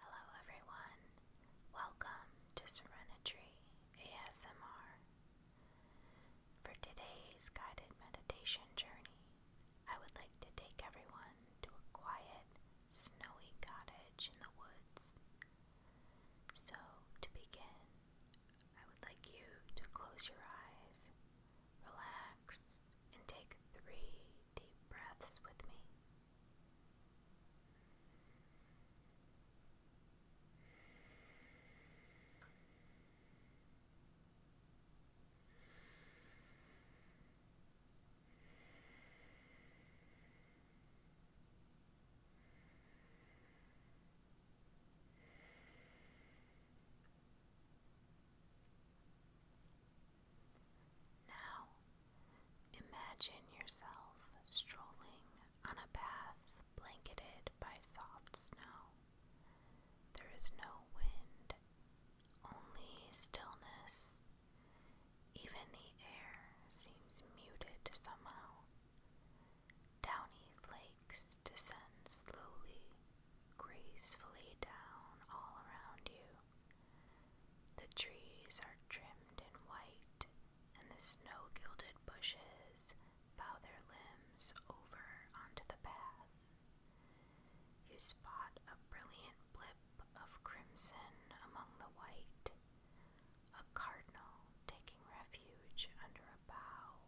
Hello everyone, welcome to Serenity ASMR. For today's guided meditation journey, I would like to take everyone to a quiet, snowy cottage in the woods. So, to begin, I would like you to close your eyes Relax and take three deep breaths with me. Now, imagine yourself strolling on a path blanketed by soft snow. There is no wind, only stillness. Even the air seems muted somehow. Downy flakes flakes slowly, gracefully down all around you. The trees are trimmed in white, and the snow gilded bushes bow their limbs over onto the path. You spot a brilliant blip of crimson among the white, a cardinal taking refuge under a bough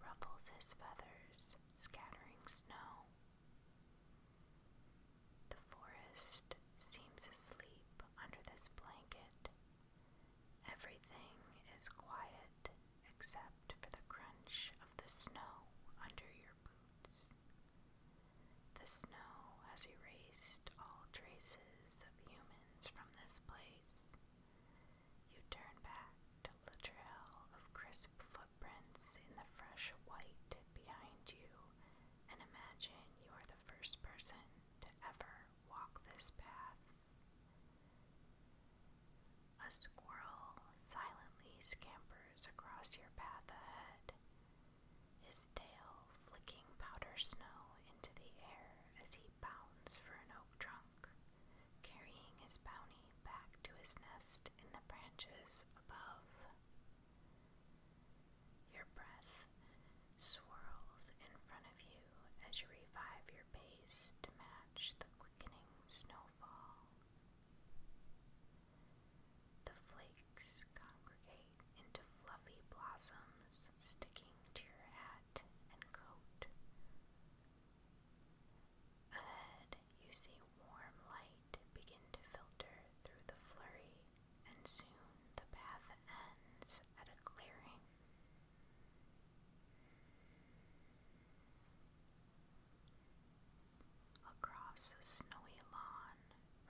ruffles his feathers, scattering snow. The forest seems asleep under this blanket. Everything is quiet except for the crunch of the snow under your boots. The snow has erased all traces of humans from this place, you turn back to the trail of crisp footprints in the fresh white behind you and imagine you are the first person to ever walk this path. A squirrel silently scampers across your path ahead, his tail flicking powder snow into the air as he pounds for an oak trunk, carrying his bounty back to his nest in the branches above. Your breath swirls in front of you as you revive your pace to match the quickening snowfall. The flakes congregate into fluffy blossoms sticking to your Ahead, you see warm light begin to filter through the flurry, and soon the path ends at a clearing. Across a snowy lawn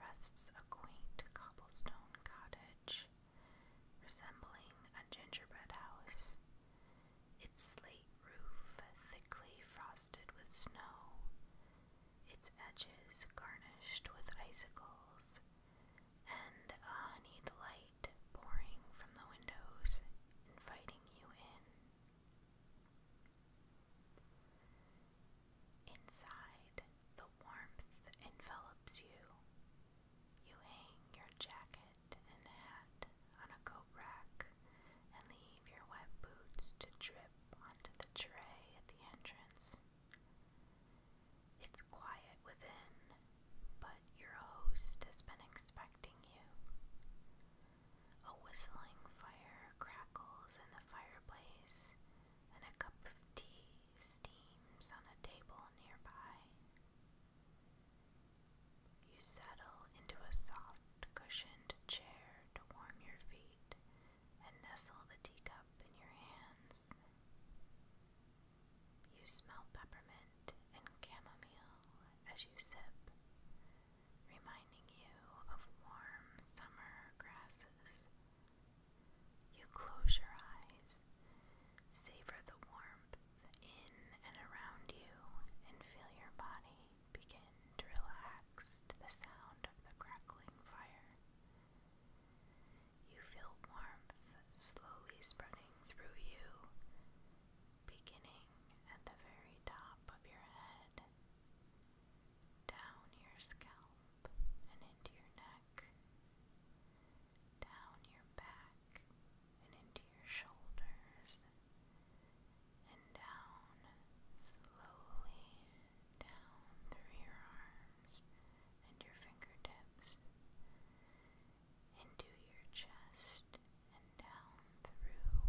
rests a quaint cobblestone cottage resembling a gingerbread house, its slate roof thickly frosted with snow, its edges garnished with icicles, and a honeyed light pouring from the windows, inviting you in. Inside, the warmth envelops you. You hang your jacket and hat on a coat rack and leave your wet boots to drip onto the tray at the entrance. It's quiet within, but your host has been expecting you. A whistling fire crackles in the fireplace and a cup of tea steams on a table nearby. You settle into a soft, cushioned chair to warm your feet and nestle the teacup in your hands. You smell peppermint and chamomile as you sip, reminding you of warm summer grasses you close your eyes, savor the warmth in and around you, and feel your body begin to relax to the sound of the crackling fire. You feel warmth slowly spreading through you, beginning at the very top of your head down your scalp and into your neck, down your back and into your shoulders, and down slowly down through your arms and your fingertips, into your chest and down through,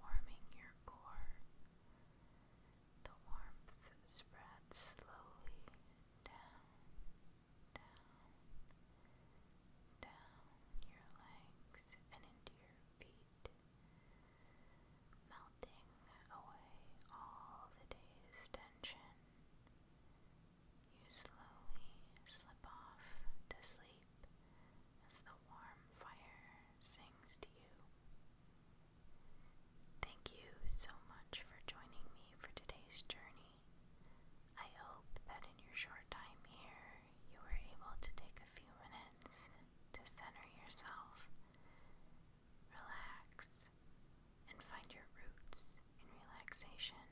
warming your core. The warmth spreads slowly down, down, down your legs and into your feet, melting away all the day's tension. You slowly slip off to sleep as the warm fire sings to you. Thank you so much for joining me for today's journey. I hope that in your short time here you were able to take a few minutes to center yourself, relax, and find your roots in relaxation.